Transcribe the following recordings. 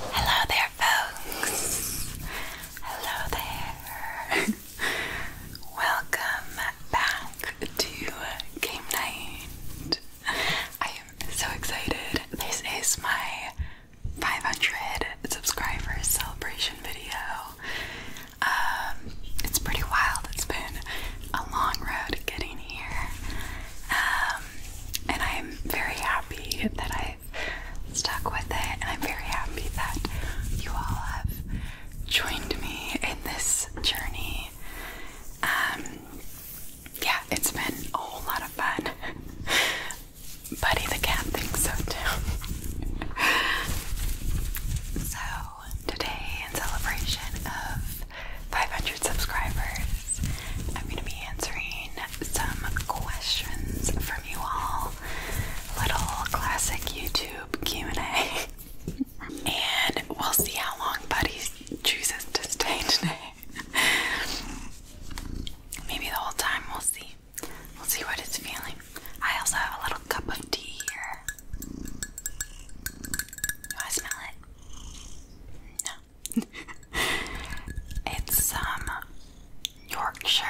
Hello there, folks. Hello there. Welcome back to game night. I am so excited. This is my 500 subscribers celebration video. Um, it's pretty wild. It's been a long road getting here. Um, and I am very happy that I i stuck with it, and I'm very happy that you all have joined me in this journey. Um, yeah, it's been a whole lot of fun. Buddy the cat thinks so too. so, today, in celebration of 500 subscribers, I'm going to be answering some questions from you all. Little classic YouTube Q&A. and we'll see how long Buddy chooses to stay today. Maybe the whole time, we'll see. We'll see what it's feeling. I also have a little cup of tea here. Do I smell it? No. it's some um, Yorkshire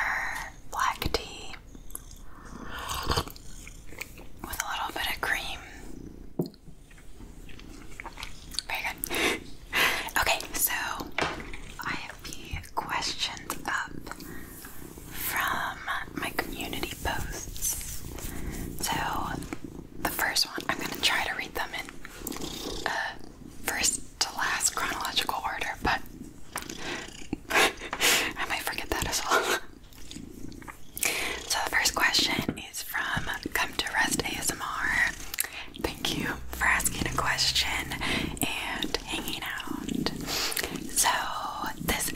black tea with a little bit of cream. Very good. okay, so I have the questions up from my community posts. So the first one, I'm gonna try to read them in first to last chronological order, but I might forget that as well. so the first question is from Come to Rest ASMR. Thank you for asking a question and hanging out. So this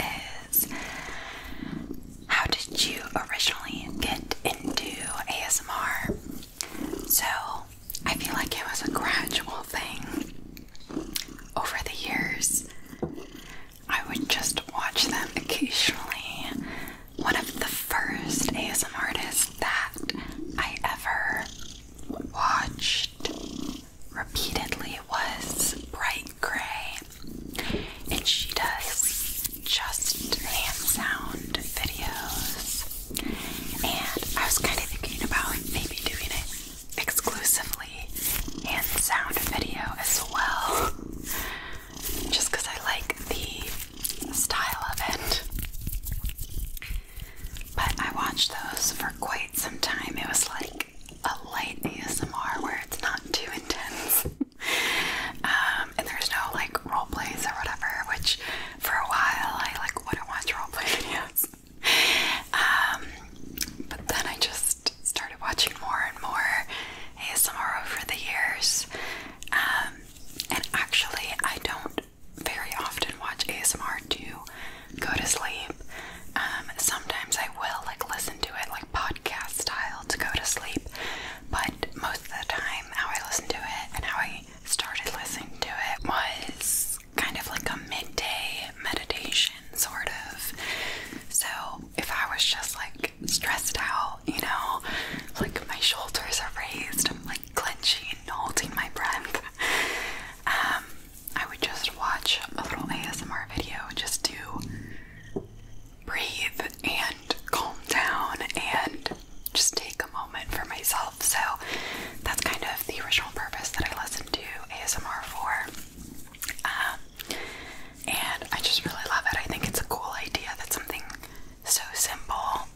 is how did you originally get into ASMR? So I feel like it was a gradual thing. Over the years, I would just watch them occasionally. One of the first ASMR artists that I ever watched repeatedly was Bright Gray, and she does just hand sound videos and I was kind of thinking about maybe doing it exclusively in sound video as well. Just because I like the style of it. But I watched those for quite some time. It was like a light ASMR where it's not too intense. Um, um, and there's no like role plays or whatever, which for a while I like wouldn't watch role play videos. Um, but then I just started watching more and more ASMR over the years. Um, and actually, I don't very often watch ASMR to go to sleep. sometimes I will like listen to it like podcast style to go to sleep, but most of the time, how I listen to it and how I I started listening to it was kind of like a midday meditation, sort of. So if I was just like stressed out, you know, like my shoulders are raised, I'm like clenching and holding my breath, um, I would just watch a little ASMR video just to breathe and calm down and just take a moment for myself. So that's kind of the original purpose that I listen to ASMR for. Um, and I just really love it. I think it's a cool idea that something so simple,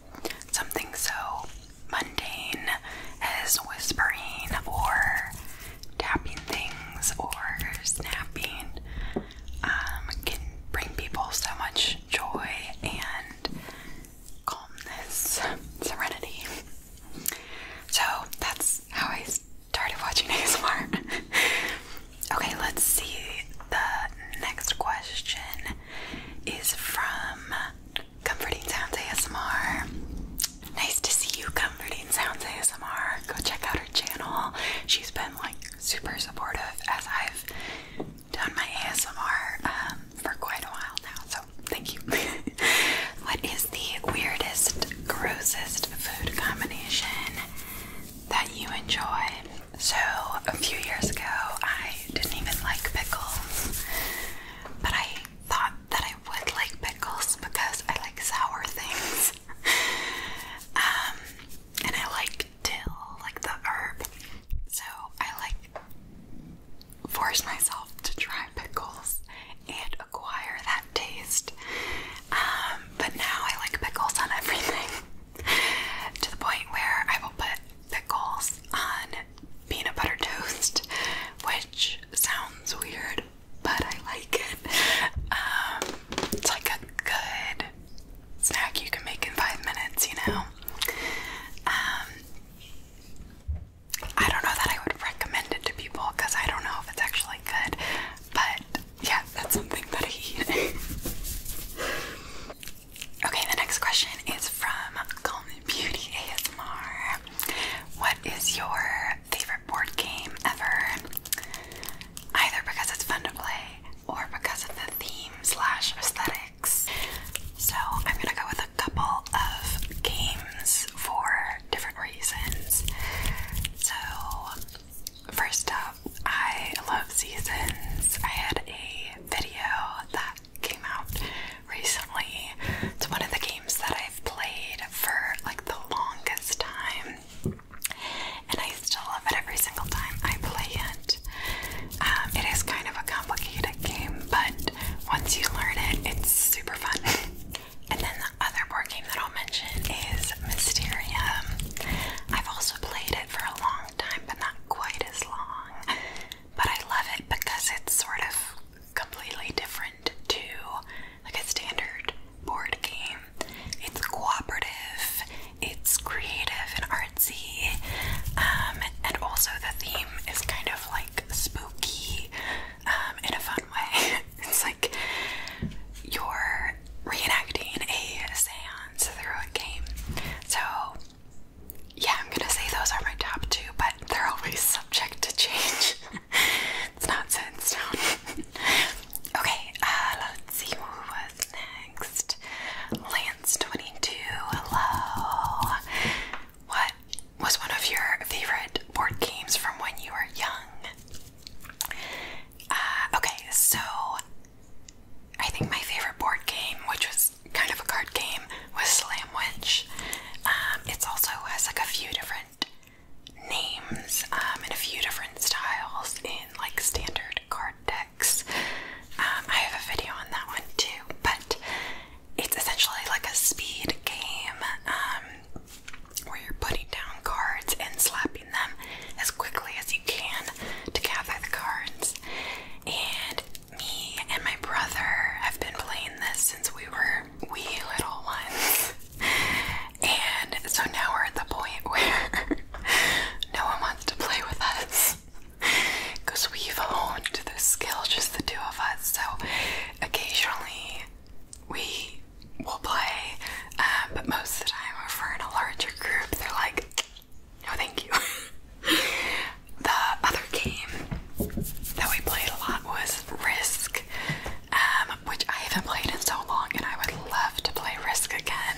something so mundane as whispering or tapping things or snapping um, can bring people so much joy and calmness, serenity. So that's how I started watching ASMR. okay, let's see. The next question is from Comforting Sounds ASMR. Nice to see you, Comforting Sounds ASMR. Go check out her channel. She's been like super supportive as I've done my ASMR um, for quite a while now, so thank you. what is the weirdest, grossest food combination that you enjoy? So, a few years ago, I didn't even like pickles, but I thought that I would like pickles because I like sour things. Um, and I like dill, like the herb. So I like force myself to try pickles and acquire that taste. Um, but now I like pickles on everything to the point where I will put pickles on peanut butter toast, which sounds weird, but I like it. Um, it's like a good snack you can make in five minutes, you know? Um, I don't know that I would recommend it to people because I don't know if it's actually good, but yeah, that's something that I okay, the next question is from Beauty ASMR. What is your favorite board game ever? Either because it's fun to play, or because of the theme slash aesthetics. So I'm gonna go with a couple of games for different reasons. So first up, I love seasons. I had a video that came out recently. It's one of the games that I've played for like the longest time. And I still love it every single time I play it. Um, it is kind of a complicated game, but once you learn it, it's super fun. and then the other board game that I'll mention is Mysterium. I've also played it for a long time, but not quite as long. But I love it because it's sort of completely different to like a standard board game. It's cooperative, it's creative and artsy, um, and also the theme is kind of like spooky um, in a fun way. it's like you're reenacting a seance through a game. So, yeah, I'm gonna say those are my top two, but they're always subject to change. it's not okay, uh, let's see who next. Lance22, hello. What was one of your favorite board games from when you were young? Uh, okay, so I think my favorite board game, which was kind of a card game, was Slam Witch. Um, it also has like a few different names um, and a few different styles in like standard card decks. Um, I have a video on that one too, but it's essentially like a speed game um, where you're putting down cards and slapping them as quickly as you can to gather the cards. And me and my brother have been playing this since we were wee little ones. And so now we're at the point where no one wants to play with us because we've honed this skills just the two of us. So occasionally we will play, um, but most of the time, if we're in a larger group, they're like, "No, thank you." the other game that we played a lot was Risk, um, which I haven't played in so long, and I would love to play Risk again.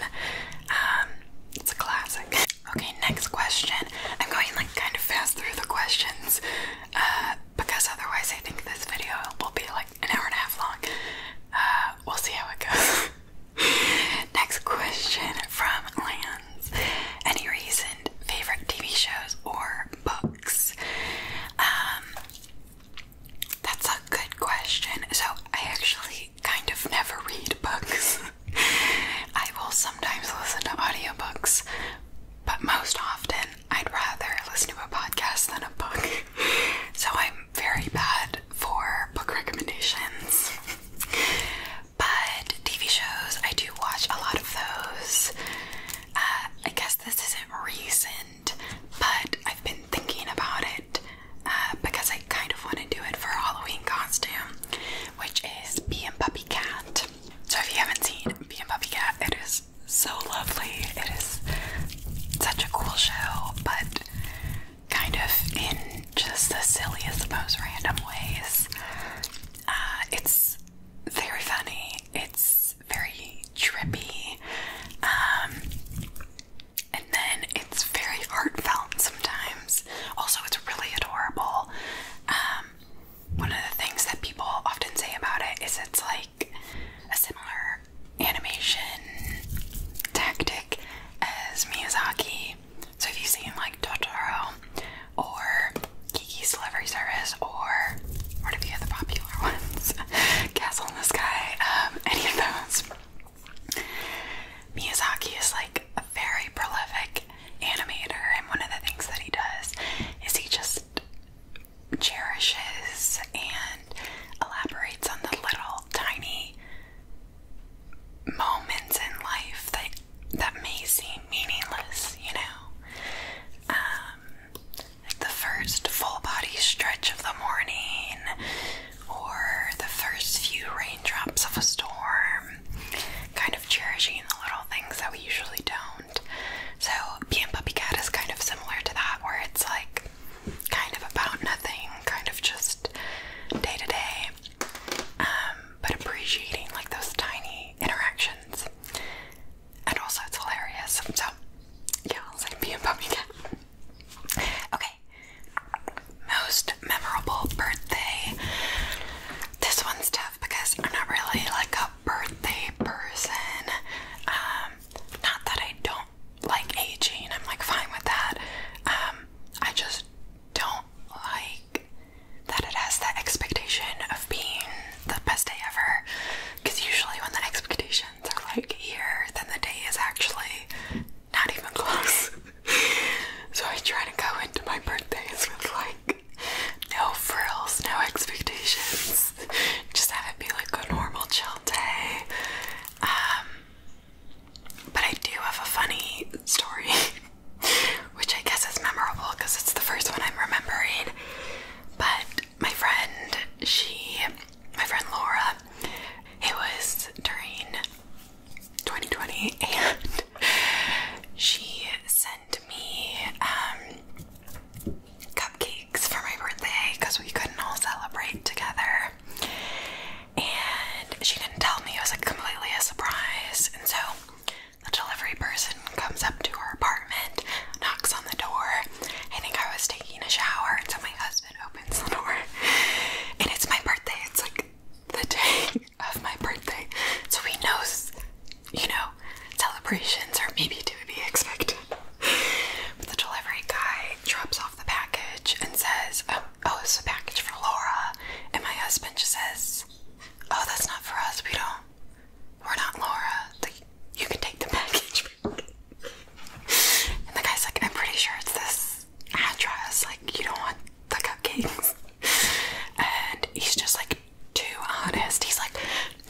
Um, it's a classic. Okay, next question. I'm going like kind of fast through the questions uh, because otherwise I think this video will be like an hour and a half long. Uh, we'll see how it goes. next question from Lance. Any recent favorite TV shows or books? Um, that's a good question. So I actually I kind of never read books. I will sometimes listen to audiobooks, but most often I'd rather listen to a podcast than a book. So I'm very bad for book recommendations. But TV shows, I do watch a lot of those. Uh, I guess this isn't recent, but I've been thinking about it uh, because I kind of want to do it for Halloween costume which is Bee and Puppy Cat. So if you haven't seen Bee and Puppy Cat, it is so lovely. It is such a cool show, but kind of in just the silliest, most random ways. Uh, it's very funny. It's very trippy. Um, and then it's very heartfelt sometimes. Also, it's really adorable. Um, one of the things that people often say about it is it's like a similar animation tactic as Miyazaki. So if you've seen like Totoro or Kiki's Delivery Service or one of the other popular ones? Castle in the Sky, um, any of those. Miyazaki is like a very prolific animator, and one of the things that he does is he just cherishes and elaborates on the little tiny moments in life that that may seem meaningless, you know. Um, like the first full body stretch of the morning, or the first few raindrops of a storm, kind of cherishing the little things that we usually don't. So, Being Puppy Cat is kind of similar to that, where it's like kind of about nothing, kind of just day to day, um, but appreciating like those tiny interactions. And also, it's hilarious. So, yeah, I'll say Being Puppy Cat. Okay, most memorable birthday. This one's tough because I'm not really like a birthday person. Um, not that I don't like aging, I'm like fine with that. Um, I just don't like that it has the expectation of being the best day ever. Because usually, when the expectations are like here, then the day is actually not even close. so I try to go into my birthdays with like no frills, no expectations. Just have it be like a normal chill day. Um, but I do have a funny story, which I guess is memorable because it's the first one I'm remembering. But my friend, she, my friend Laura, it was during 2020 and she sent me um, cupcakes for my birthday because we couldn't all celebrate together and she didn't tell me it was like completely a surprise and so the delivery person comes up to our apartment knocks on the door I think I was taking a shower and so my husband opens the door and it's my birthday it's like the day of my birthday, so he knows, you know, celebrations are maybe to be expected. But the delivery guy drops off the package and says, "Oh, oh it's a package for Laura," and my husband just says, "Oh, that's not for us. We don't. We're not Laura. you can take the package." and the guy's like, "I'm pretty sure it's this address, like, you don't want the cupcakes. And he's just like, too honest. He's like,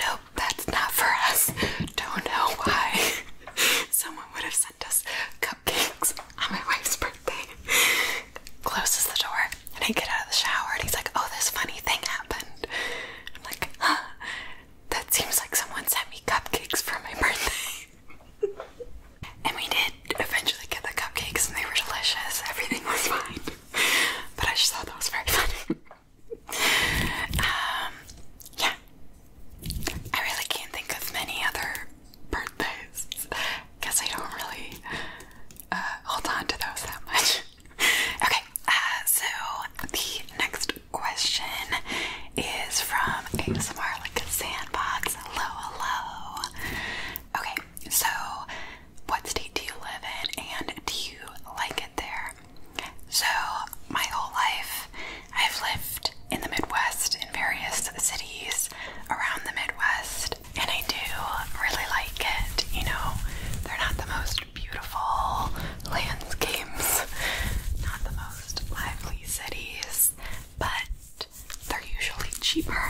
nope, that's not for us. Don't know why someone would have sent us cupcakes on my wife's birthday. Closes the door, and I get out of the shower, and he's like, oh, this funny thing happened. I'm like, huh, that seems like someone sent me cupcakes for my birthday. and we did eventually get the cupcakes and they were delicious. Everything was fine. but I just thought that was very funny. um, yeah. I really can't think of many other birthdays. Guess I don't really uh, hold on to those that much. okay, uh, so the next question is from ASMR like sandbox. Hello, hello. Okay, so what state do you live in and do you like it there? So, my whole life, I've lived in the Midwest in various cities around the Midwest, and I do really like it. You know, they're not the most beautiful landscapes, not the most lively cities, but they're usually cheaper.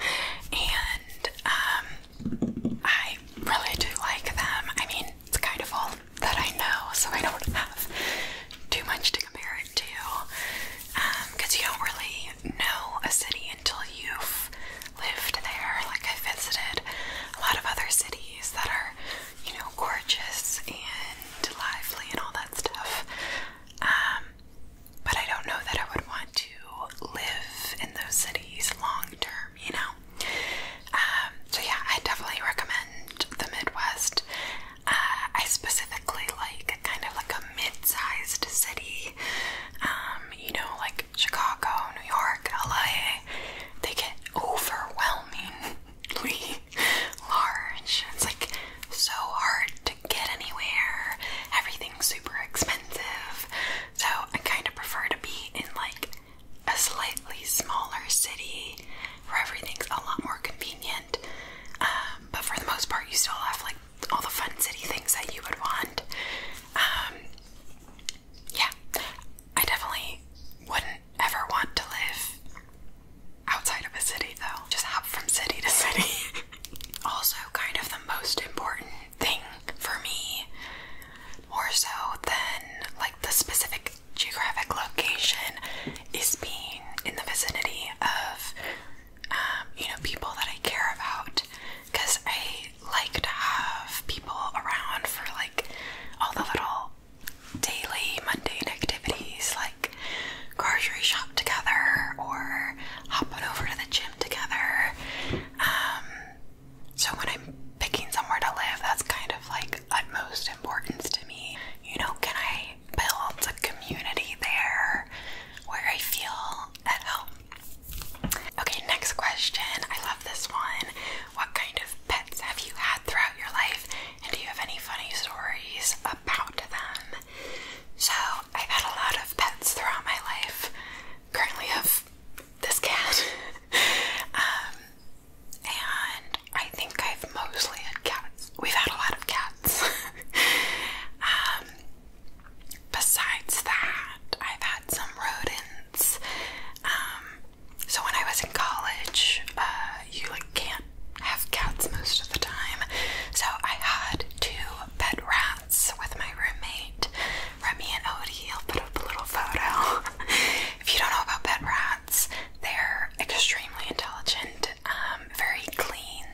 and um, I really do like them. I mean, it's kind of all that I know, so I don't have too much to compare it to. Because um, you don't really know a city until you've lived there. Like, I have visited a lot of other cities that are, you know, gorgeous and lively and all that stuff. Um, but I don't know that I would want to live in those cities long term, you know? Um, so, yeah, I definitely recommend the Midwest. Uh, I specifically like kind of like a mid sized city, um, you know, like Chicago, New York, LA. They get overwhelmingly large. It's like so hard to get anywhere, everything's super expensive. So I kind of prefer to be in like a slightly smaller city where everything's a lot more convenient. Um, but for the most part, you still have like all the fun city things that you would want. Um, yeah, I definitely wouldn't ever want to live outside of a city though. Just hop from city to city. also, kind of the most important thing for me, more so than like the specific geographic location, is being in the vicinity of um, you know people that I care about. Cause I like to have people around for like all the little daily mundane activities like grocery shop together or hop over to the gym together. Um, so when I'm picking somewhere to live, that's kind of like utmost importance to me. You know, can I build a community there where I feel at home? Okay, next question. I love this one. What kind of pets have you had throughout your life? And do you have any funny stories about them? So I've had a lot of pets throughout my life. Currently have this cat. Um, and I think I've mostly had cats. We've had a lot of cats. Um, besides that, I've had some rodents. Um, so when I was in college, uh, you like can't have cats most of the time, so I had two pet rats with my roommate, Remy and Odie. I'll put up a little photo. if you don't know about pet rats, they're extremely intelligent, um, very clean.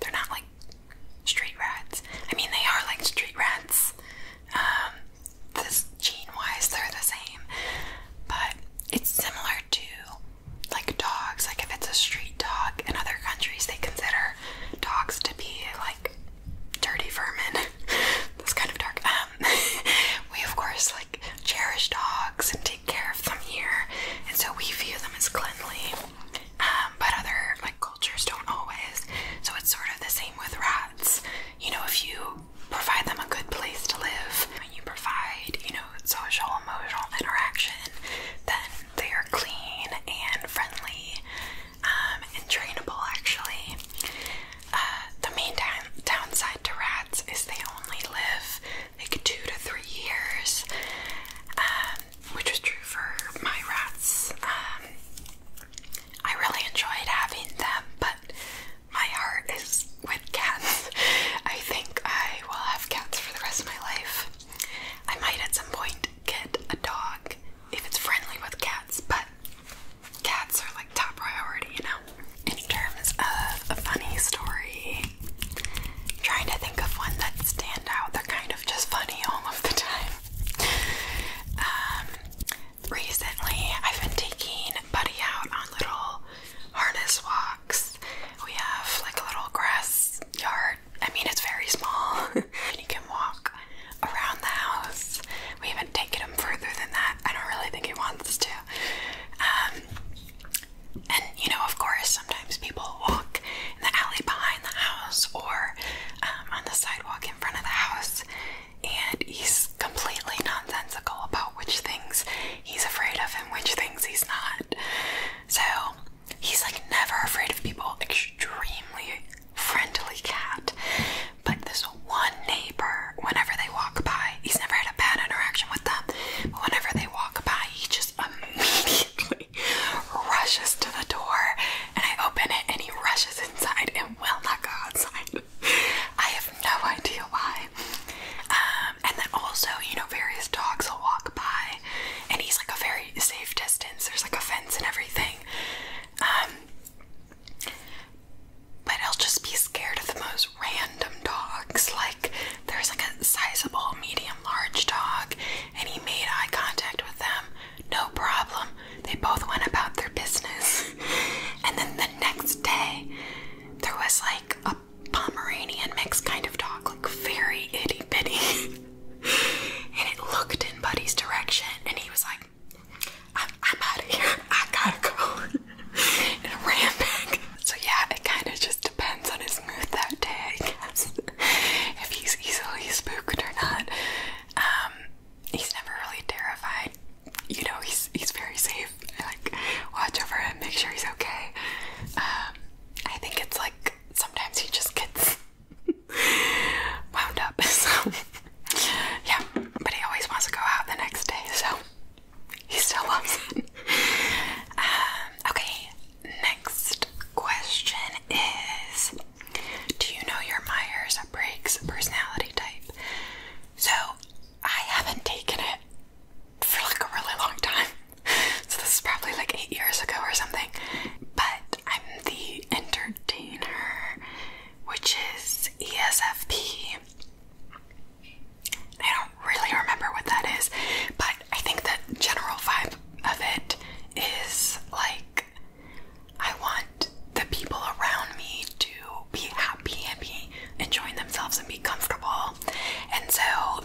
They're not like street rats. I mean, they are like street rats. Um, gene-wise, they're the same, but it's similar compared like dogs. Like if it's a street dog in other countries, they consider dogs to be like dirty vermin. That's kind of dark. Um, we of course like cherish dogs and take care of them here, and so we view them as cleanly. Um, but other like cultures don't always. So it's sort of the same with rats. You know, if you provide them a good place to live, and you provide, you know, social emotional interaction, then they are clean and friendly um, and trainable, actually. Uh, the main downside to rats is they only live like two to three years, um, which is true for my rats. Um, I really enjoyed having them, but my heart is with cats. I think I will have cats for the rest of my life. I might at some point get a dog if it's friendly with cats, but cats are like top priority, you know? In terms of a funny story, trying to think of one that stand out. They're kind of just funny all of the time. Um, recently, I've been taking Buddy out on little harness walks we have like a little grass yard. I mean, it's very small, and you can walk around the house. We haven't taken him further than that. I don't really think he wants to. Um, and you know, of course, sometimes people walk in the alley behind the house or um, on the sidewalk in front of the house, and he's completely nonsensical about which things he's afraid of and which things he's not. So he's like never afraid of people, extremely friendly cat. But this one neighbor, whenever they walk by, he's never had a bad interaction with them, but whenever they walk by, he just immediately rushes to the door and I open it and he rushes inside and will not go outside. I have no idea why. Um, um, and then also, you know, various dogs will walk by, and he's like a very safe distance. There's like a fence and everything. Um, but he'll just be scared of the most random dogs. Like, there's like a sizable, medium, large dog, and he made eye contact with them. No problem. They both went about their business. and then the next day, there was like a Pomeranian mix kind of dog, like very itty bitty. and it looked in Buddy's direction, and he was like, I'm, out of here. I gotta go. and I ran back. So, yeah, it kind of just depends on his mood that day, if he's easily spooked or not. Um, he's never really terrified. You know, he's he's very safe. like, watch over him, make sure he's okay. Um, I think it's like sometimes he just gets wound up. So yeah, but he always wants to go out the next day, so he still loves it. Um, okay, next question is Do you know your Myers Briggs personality type? So I haven't taken it for like a really long time so this is probably like eight years ago or something. But I'm the entertainer, which is ESFP. I don't really remember what that is, but I think the general vibe of it is like I want the people around me to be happy and be enjoying themselves and be comfortable and so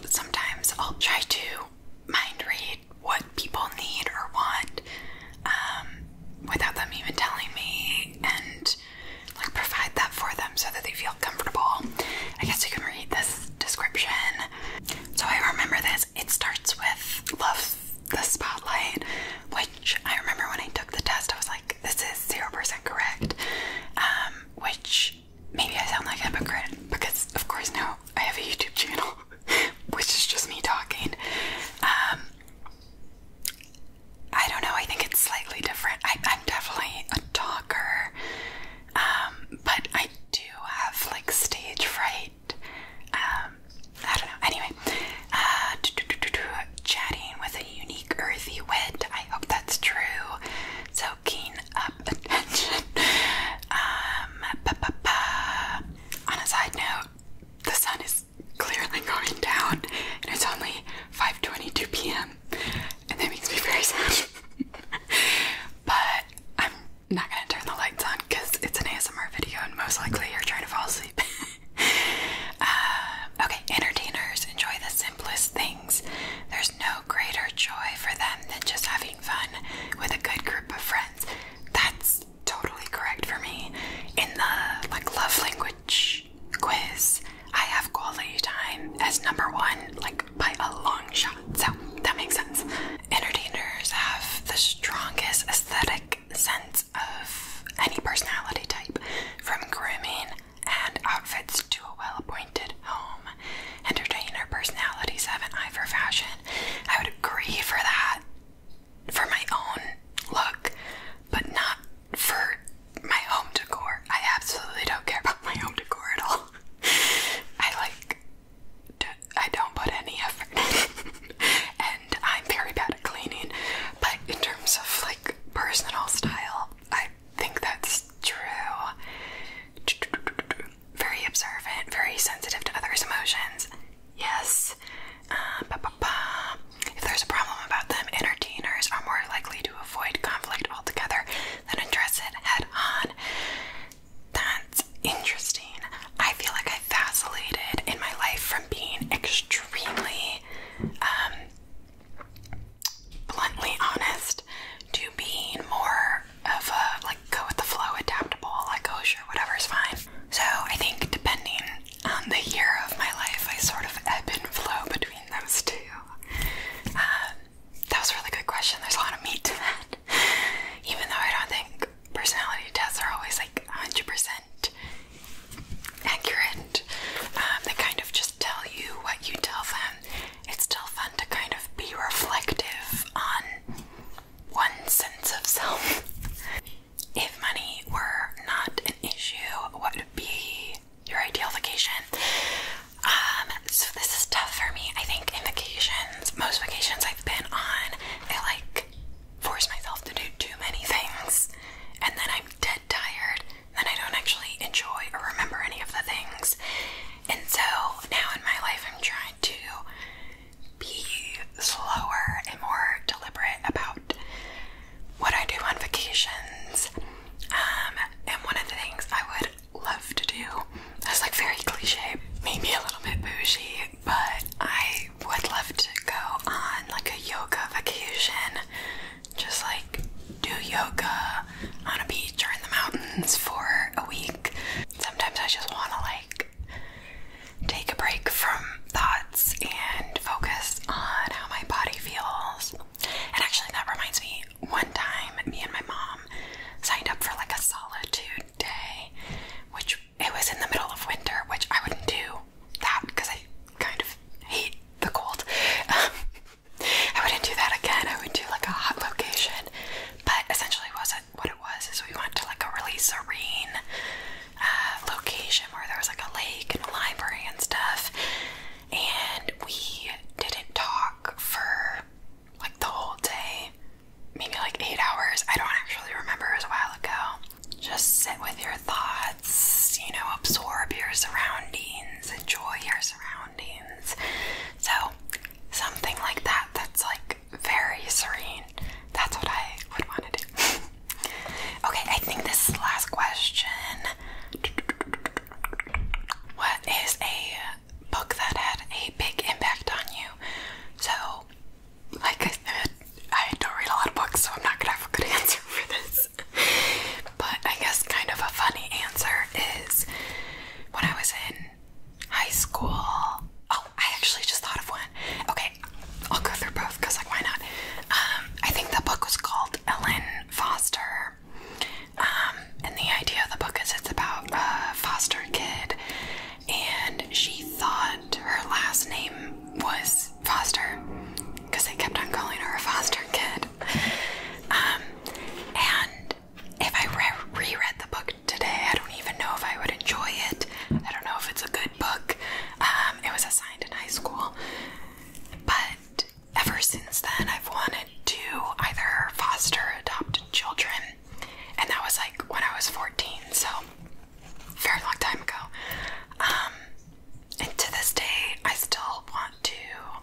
sometimes I'll try to mind read what people need or want um, without them even telling me and like provide that for them so that they feel comfortable. I guess you can read this description. So I remember this. It starts with love the spotlight, which I remember when I took the test, I was like, this is 0% correct. Um, which maybe I sound like a hypocrite because, of course, now I have a YouTube channel, which is just me talking. Um, I don't know. I think it's slightly different. I, am definitely a talker, um, but I do have like stage fright. Um, I don't know. Anyway, uh, chatting with a unique earthy wit. I hope that's true. So um, on a side note, the sun is clearly going down, and it's only 5:22 p.m. and that makes me very sad. but I'm not gonna turn the lights on because it's an ASMR video, and most likely you're trying to fall asleep. Uh, okay, entertainers enjoy the simplest things. There's no greater joy for them than just having fun with a good group of friends. That's totally correct for me. In the like love language quiz, I have quality time as number one, like by a long shot. So that makes sense. Entertainers have the strongest aesthetic sense of any personality type, from grooming and outfits to a well home. Entertainer personalities have an eye for fashion. I would agree for that, for my own look, but not for my home decor. I absolutely don't care about my home decor at all. I like, I don't put any effort and I'm very bad at cleaning, but in terms of like personal style, I I think that's true. Very observant, very sensitive to others' emotions. Yes. Uh, if there's a problem about them, entertainers are more likely to avoid conflict altogether than address it head on. That's interesting. I feel like I vacillated in my life from being extremely um, bluntly honest to being more of a like go with the flow, adaptable, like oh sure, is fine. So I think depending on the year of my life, I sort of ebb and flow between those two. Um, that was a really good question. There's a lot of meat to that. Even though I don't think personality tests are always like 100% accurate, um, they kind of just tell you what you tell them it's still fun to kind of be reflective on one sense of self. If money were not an issue, what would be your ideal vacation? Um, so this is tough for me. I think in vacations, most vacations I've been on, I like force myself to do too many things and then I'm dead tired, then I don't actually enjoy or remember any of the things. And so now in my life, I'm trying to be slower and more deliberate about what I do on vacations. Um, and one of the things I would love to do is like very cliche, maybe a little bit bougie, but I would love to go on like a yoga vacation, just like do yoga on a beach or in the mountains for a week. Sometimes I just want to like take a break from thoughts and focus on how my body feels. And actually, that reminds me one time, me and my mom signed up for like a solitude day, which it was in the middle of winter, which I wouldn't do that because I kind of hate the cold. Um, I wouldn't do that again. I would do like a hot location, but essentially, was not what it was? Is we went to like a really serene uh, location where there was like a lake and a library and stuff, and we didn't talk for like the whole day, maybe like eight hours. I don't actually remember. It was a while ago. Just sit with your thoughts, you know, absorb your surroundings, enjoy your surroundings. So, something like that that's like very serene. That's what I would want to do. okay, I think this is the last question. What is a book that had a big impact on you? So, like I said, I don't read a lot of books, so I'm not gonna have a good answer for this. but I guess kind of a funny answer is when I was in high school. Oh, I actually just thought of one. Okay, I'll go through both because, like, why not? Um, I think the book was called Ellen Foster. Um, and the idea of the book is it's about a foster kid, and she thought her last name was Foster because they kept on calling her a foster kid. Um, and if I reread the book today, I don't even know if I would enjoy it. I don't know if it's a good book. Um, it was assigned in high school, but ever since then, I've wanted to either foster adopt children, and that was like when I was 14, so very long time ago. Um, and to this day, I still want to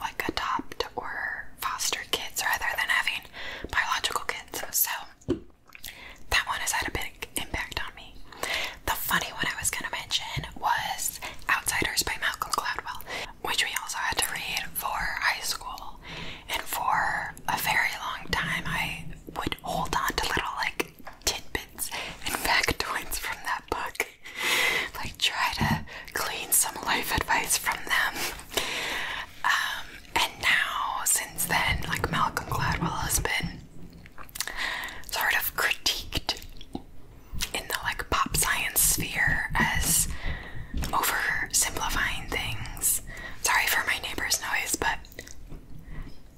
like adopt or foster kids rather than having biological kids. So that one has had a big impact on me. The funny one I was going to mention was Outsiders by Malcolm Gladwell, which we also had to read for high school. And for a very long time, I would hold on to little like tidbits and factoids from that book like try to glean some life advice from them. Um, and now since then, like Malcolm Gladwell has been sort of critiqued in the like pop science sphere as oversimplifying things. Sorry for my neighbor's noise, but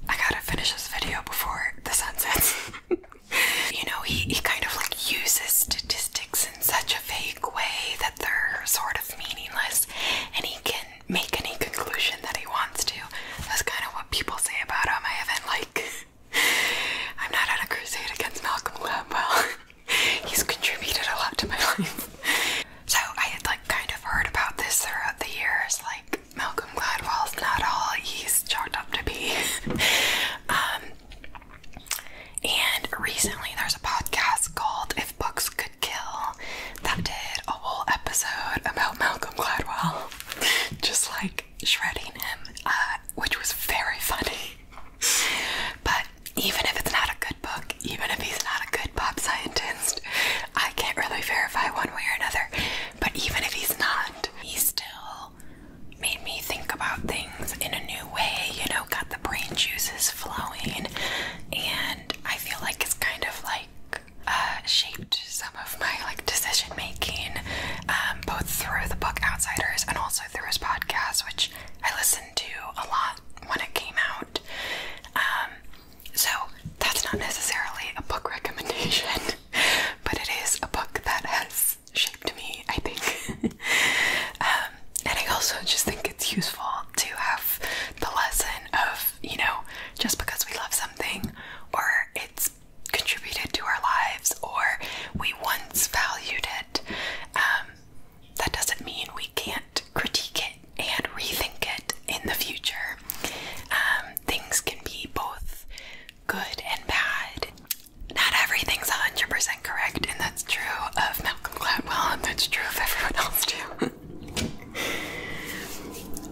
I gotta finish this video before the sun sets. you know, he, he kind of like uses statistics in such a vague way that they're sort of meaningless and he can make any conclusion that he wants to. That's kind of what people say about him. I haven't, like, I'm not on a crusade against Malcolm Gladwell. He's contributed a lot to my life. So I had, like, kind of heard about this throughout the years. Like, Malcolm Gladwell's not all he's chalked up to be. um, and recently there's a podcast called If Books Could Kill that did a whole episode about Malcolm Gladwell, just like shredding him, uh, which was very funny. But even if it's not a good book, even if he's not a good pop scientist, I can't really verify one way or another. But even if he's not, he still made me think about things in a new way, you know, got the brain juices flowing, and I feel like it's kind of like uh, shaped some of my like decision making, um, both through the book Outsiders and also through his podcast, which I listened to a lot when it came out. Um, so that's not necessarily a book recommendation, but it is a book that has shaped me, I think. Um, and I also just think it's useful to have the lesson of, you know, just because we love something or it's contributed to our lives or we once valued it, um, that doesn't mean we can't critique it and rethink it in the future. Um, things can be both good and bad, not everything's 100% correct, and that's true of Malcolm Gladwell, and that's true of everyone else, too.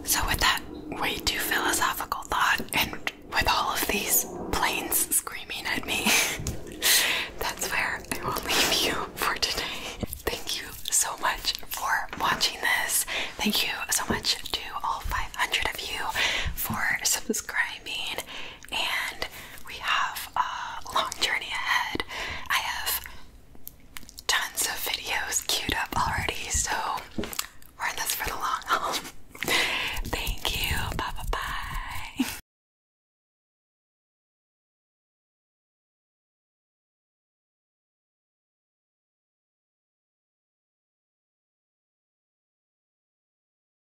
so, with that way too philosophical thought, and with all of these planes screaming at me, that's where I will leave you for today. Thank you so much for watching this. Thank you so much to all 500 of you for subscribing and we have a long journey ahead. I have tons of videos queued up already, so we're in this for the long haul. Thank you. Bye bye